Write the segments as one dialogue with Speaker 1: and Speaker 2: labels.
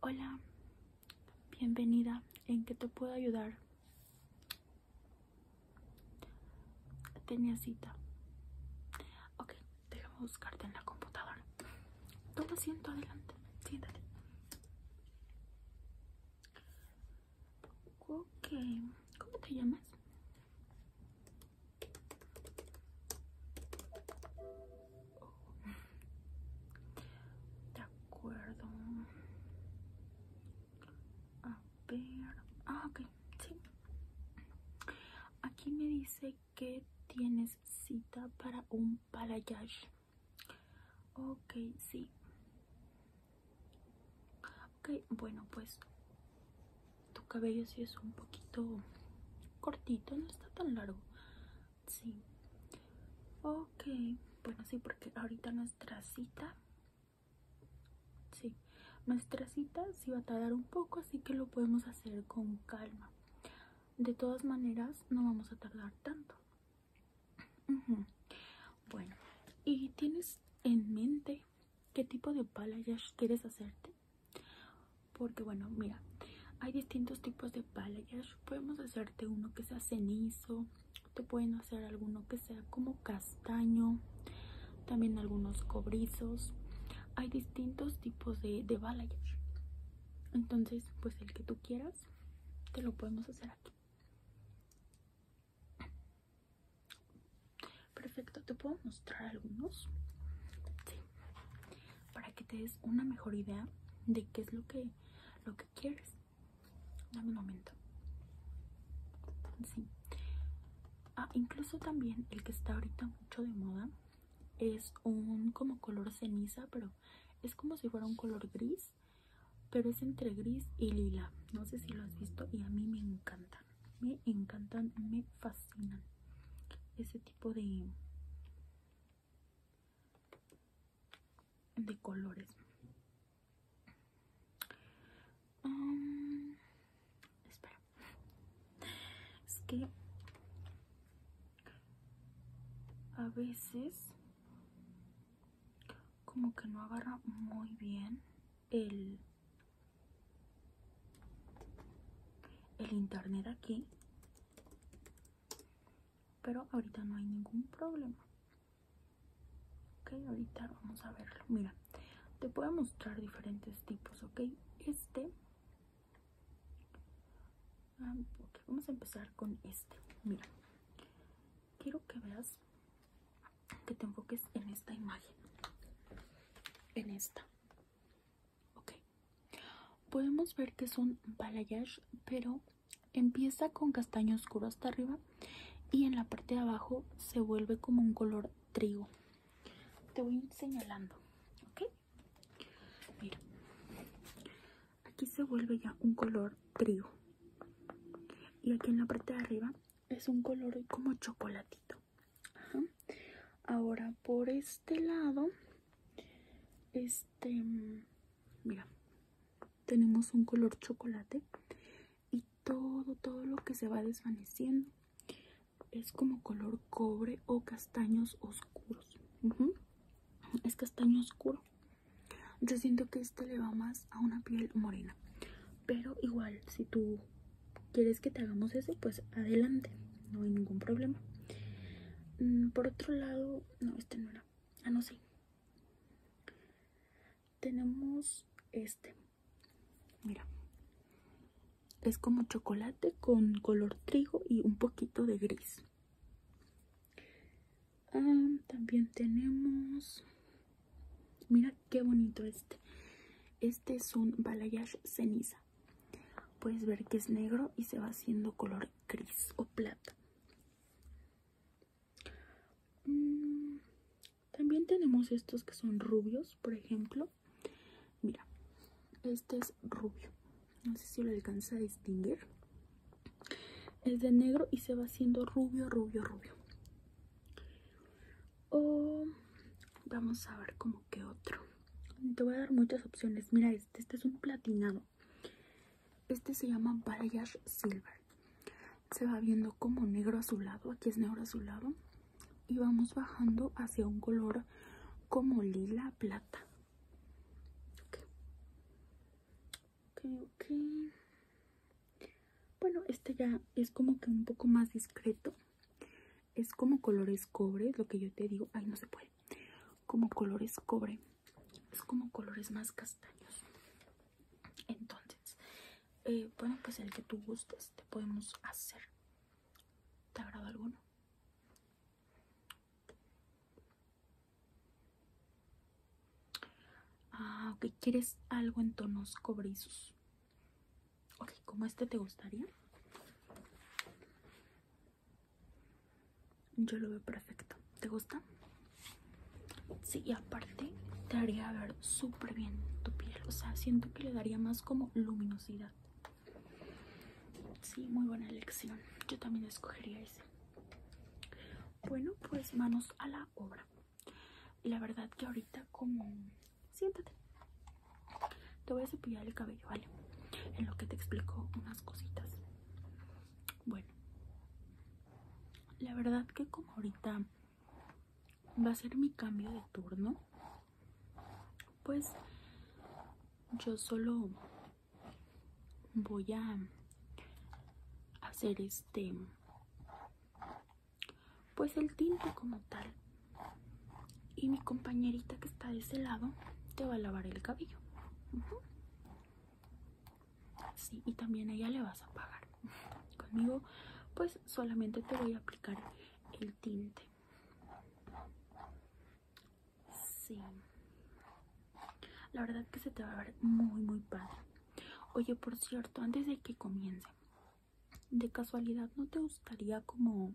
Speaker 1: Hola, bienvenida. ¿En qué te puedo ayudar? Tenía cita. Ok, déjame buscarte en la computadora. Toma asiento adelante. Siéntate. Ok, ¿cómo te llamas? De acuerdo. A ver. Ah, ok. Sí. Aquí me dice que tienes cita para un palayage, Ok, sí. Ok, bueno, pues tu cabello sí es un poquito cortito, no está tan largo. Sí. Ok. Bueno, sí, porque ahorita nuestra cita. Sí. Nuestra cita sí va a tardar un poco, así que lo podemos hacer con calma. De todas maneras, no vamos a tardar tanto. Bueno, ¿y tienes en mente qué tipo de ya quieres hacerte? porque bueno mira hay distintos tipos de balayage podemos hacerte uno que sea cenizo te pueden hacer alguno que sea como castaño también algunos cobrizos hay distintos tipos de, de entonces pues el que tú quieras te lo podemos hacer aquí perfecto te puedo mostrar algunos para que te des una mejor idea de qué es lo que lo que quieres. Dame un momento. Ah, incluso también el que está ahorita mucho de moda es un como color ceniza, pero es como si fuera un color gris, pero es entre gris y lila. No sé si lo has visto y a mí me encantan. Me encantan, me fascinan ese de colores um, es que a veces como que no agarra muy bien el el internet aquí pero ahorita no hay ningún problema ok ahorita vamos a verlo mira te a mostrar diferentes tipos ok este ah, vamos a empezar con este mira quiero que veas que te enfoques en esta imagen en esta Ok. Podemos ver que es un balayage, pero empieza con castaño oscuro hasta arriba y en la parte de abajo se vuelve como un color trigo. Te voy señalando, Mira, aquí se vuelve ya un color trigo y aquí en la parte de arriba es un color como chocolatito. Ahora por este lado, este, mira, tenemos un color chocolate y todo, todo lo que se va desvaneciendo es como color cobre o castaños oscuros. Es castaño oscuro. Yo siento que este le va más a una piel morena. Pero igual, si tú quieres que te hagamos eso, pues adelante, no hay ningún problema. Mm, por otro lado, no, este no era. Ah, no, sé. Tenemos este. Mira. Es como chocolate con color trigo y un poquito de gris. Ah, también tenemos... Mira qué bonito este. Este es un balayage ceniza. Puedes ver que es negro y se va haciendo color gris o plata. Mm, también tenemos estos que son rubios, por ejemplo. Mira, este es rubio. No sé si lo alcanza a distinguir. Es de negro y se va haciendo rubio, rubio, rubio. O vamos a ver cómo que otro. Te voy a dar muchas opciones. Mira este, este es un platinado. Este se llama Balayage Silver. Se va viendo como negro azulado. Aquí es negro azulado. Y vamos bajando hacia un color como lila plata. Bueno, este ya es como que un poco más discreto. Es como colores cobre, lo que yo te digo. Ay, no se puede. Como colores cobre. Es como colores más castaños. Entonces, eh, bueno, pues el que tú gustes te podemos hacer. ¿Te agrada alguno? Ah, ok, quieres algo en tonos cobrizos. Ok, ¿cómo este te gustaría? Yo lo veo perfecto. ¿Te gusta? Sí, y aparte te haría ver súper bien tu piel. O sea, siento que le daría más como luminosidad. Sí, muy buena elección. Yo también escogería ese. Bueno, pues manos a la obra. La verdad que ahorita como siéntate. Te voy a cepillar el cabello, ¿vale? En lo que te explico unas cositas. Bueno, la verdad que como ahorita va a ser mi cambio de turno, pues yo solo voy a hacer este pues el tinte como tal y mi compañerita que está de ese lado te va a lavar el cabello y también a ella le vas a pagar conmigo pues solamente te voy a aplicar el tinte sí la verdad que se te va a ver muy muy padre oye por cierto antes de que comience de casualidad no te gustaría como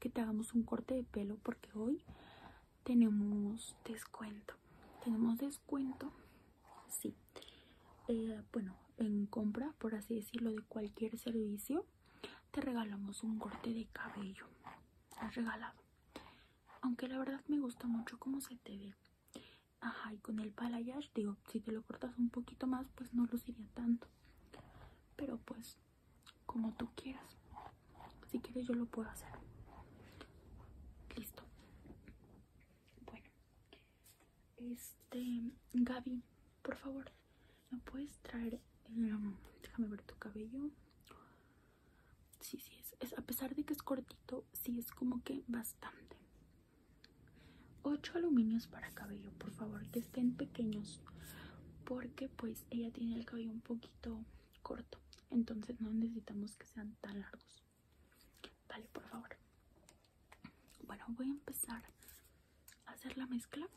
Speaker 1: que te hagamos un corte de pelo porque hoy tenemos descuento tenemos descuento sí eh, bueno en compra por así decirlo de cualquier servicio te regalamos un corte de cabello has regalado aunque la verdad me gusta mucho como se te ve ajá con el balayage digo si te lo cortas un poquito más, pues no luciría tanto. Pero pues, como tú quieras. Si quieres yo lo puedo hacer. Listo. Bueno. Este, Gaby, por favor, ¿me puedes traer? Eh, déjame ver tu cabello. Sí, sí, es, es, a pesar de que es cortito, sí es como que bastante. 8 aluminios para cabello por favor que estén pequeños porque pues ella tiene el cabello un poquito corto entonces no necesitamos que sean tan largos vale por favor bueno voy a empezar a hacer la mezcla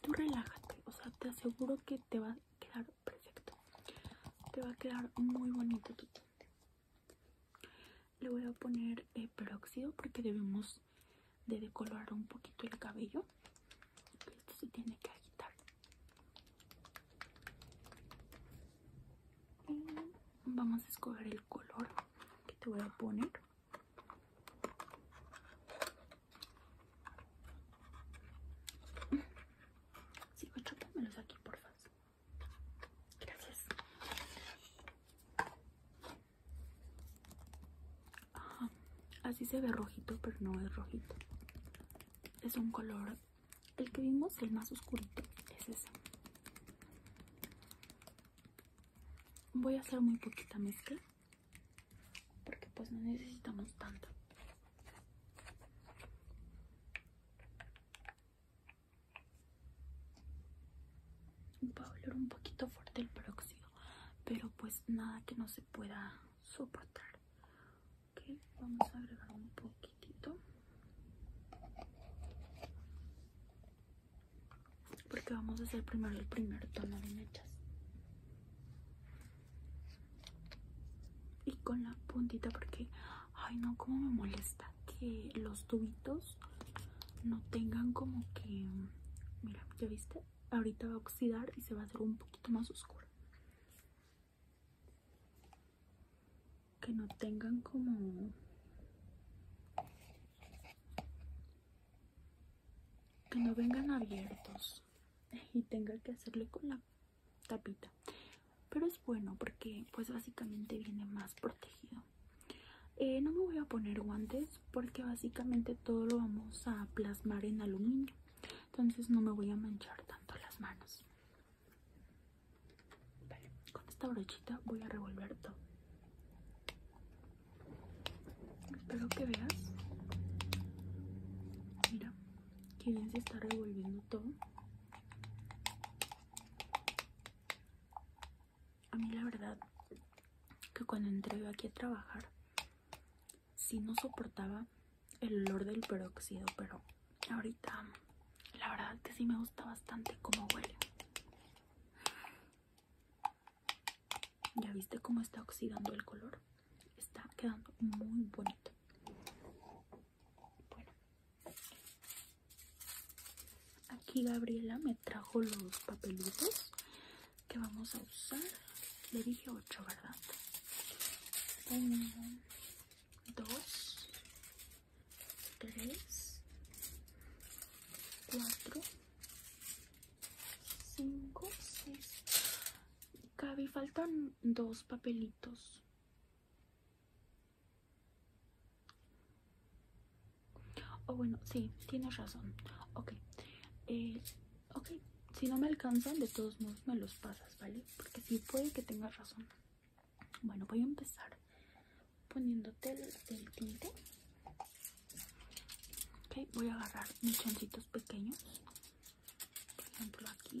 Speaker 1: tú relájate o sea te aseguro que te va a quedar perfecto te va a quedar muy bonito tu tinte le voy a poner eh, peróxido porque debemos de decolorar un poquito el cabello. Esto se tiene que agitar. vamos a escoger el color que te voy a poner. Sigo aquí, por favor. Gracias. Ah, así se ve rojito, pero no es rojito. Es un color. El que vimos, el más oscurito, es ese. Voy a hacer muy poquita mezcla. Porque pues no necesitamos tanto va a oler un poquito fuerte el próximo pero pues nada que no se pueda soportar vamos a agregar un poquitito porque vamos a hacer primero el primer tono de mechas y con la puntita porque ay no como me molesta que los tubitos no tengan como que mira ya viste ahorita va a oxidar y se va a hacer un poquito más oscuro que no tengan como que no vengan abiertos y tenga que hacerle con la tapita pero es bueno porque pues básicamente viene más protegido eh, no me voy a poner guantes porque básicamente todo lo vamos a plasmar en aluminio entonces no me voy a manchar tanto las manos con esta brochita voy a revolver todo espero que veas mira que bien se está revolviendo todo a mí la verdad que cuando entré aquí a trabajar, si no soportaba el olor del peróxido, pero ahorita la verdad que sí me gusta bastante cómo huele. Ya viste cómo está oxidando el color. Está quedando muy bonito. Bueno, aquí Gabriela me trajo los papelitos que vamos a usar. Le dije 8, ¿verdad? 1, 2, 3, 4, 5, 6. Gaby, faltan dos papelitos. Oh, bueno, sí, tienes razón. Ok. Eh, ok, si no me alcanzan, de todos modos me los pasas, ¿vale? Porque sí puede que tengas razón. Bueno, voy a empezar poniéndote el, tinte. Ok, voy a agarrar chantitos pequeños. Por ejemplo, aquí.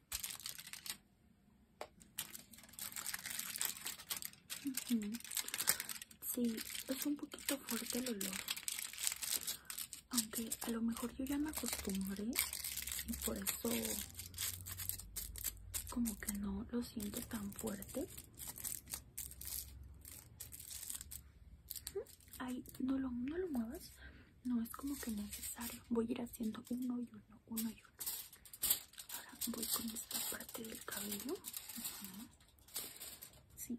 Speaker 1: Sí, es un poquito fuerte el olor. Aunque a lo mejor yo ya me acostumbré y por eso como que no lo siento tan fuerte. Ay, no lo, no lo muevas no es como que necesario voy a ir haciendo uno y uno uno y uno ahora voy con esta parte del cabello sí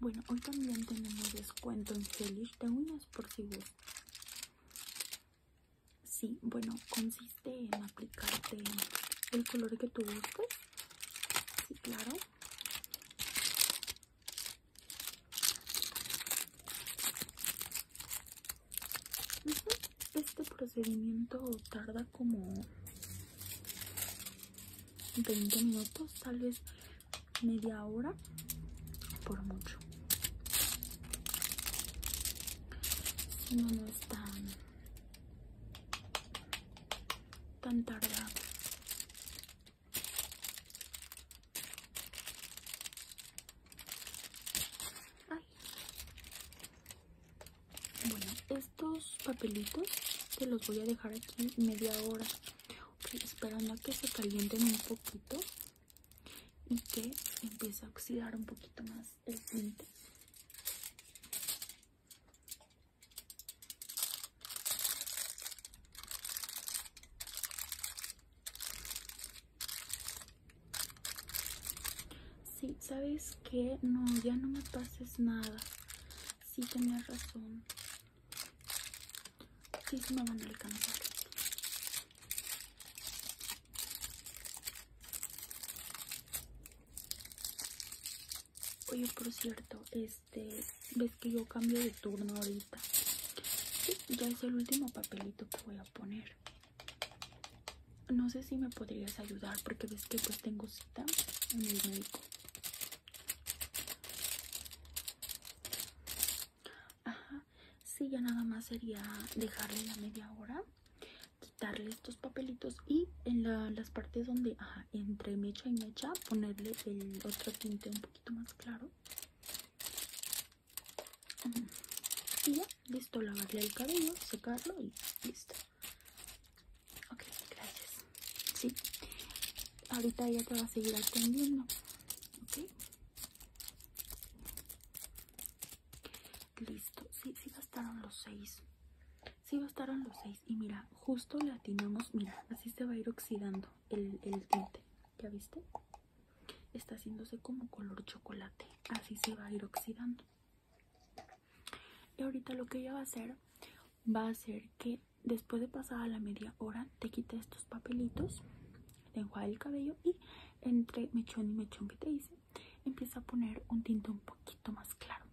Speaker 1: Bueno, hoy también tenemos descuento en Feliz de uñas por si Sí, bueno, consiste en aplicarte el color que tú gustes. Sí, claro. Este procedimiento tarda como 20 minutos, tal vez media hora por mucho si no no es tan tan tardado bueno estos papelitos que los voy a dejar aquí media hora esperando a que se calienten un poquito y que empieza a oxidar un poquito más el tinte Sí, sabes que no, ya no me pases nada. Sí, tenías razón. Sí, se me van a alcanzar. Oye, por cierto, este, ves que yo cambio de turno ahorita. ya es el último papelito que voy a poner. No sé si me podrías ayudar porque ves que pues tengo cita en el médico. Ajá. Sí, ya nada más sería dejarle la media hora, quitarle estos papelitos y en las partes donde, entre mecha y mecha, ponerle el otro tinte un poquito más claro. Mm. Y ya, listo, lavarle el cabello, secarlo y listo. Ok, gracias. Sí, ahorita ya te va a seguir atendiendo. Listo, sí, sí bastaron los seis. Sí bastaron los seis. Y mira, justo le atinamos. Mira, así se va a ir oxidando el, el tinte. ¿Ya viste? Está haciéndose como color chocolate. Así se va a ir oxidando. Y ahorita lo que ella va a hacer va a ser que después de pasar la media hora te quite estos papelitos te enjuaga el cabello y entre mechón y mechón que te hice empieza a poner un tinte un poquito más claro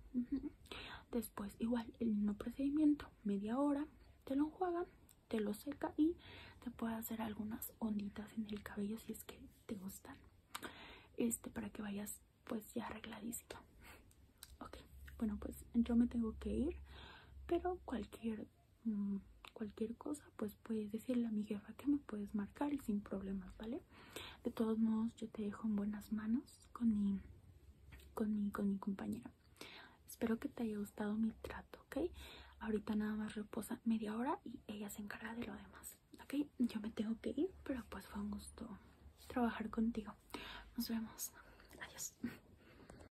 Speaker 1: después igual el mismo procedimiento media hora te lo enjuaga te lo seca y te puede hacer algunas onditas en el cabello si es que te gustan este para que vayas pues ya arregladísimo ok bueno pues yo me tengo que ir pero cualquier Mm, cualquier cosa, pues puedes decirle a mi jefa que me puedes marcar y sin problemas, ¿vale? De todos modos, yo te dejo en buenas manos con mi, con mi, con mi compañera. Espero que te haya gustado mi trato, ¿ok? Ahorita nada más reposa media hora y ella se encarga de lo demás, ¿ok? Yo me tengo que ir, pero pues fue un gusto trabajar contigo. Nos vemos. Adiós.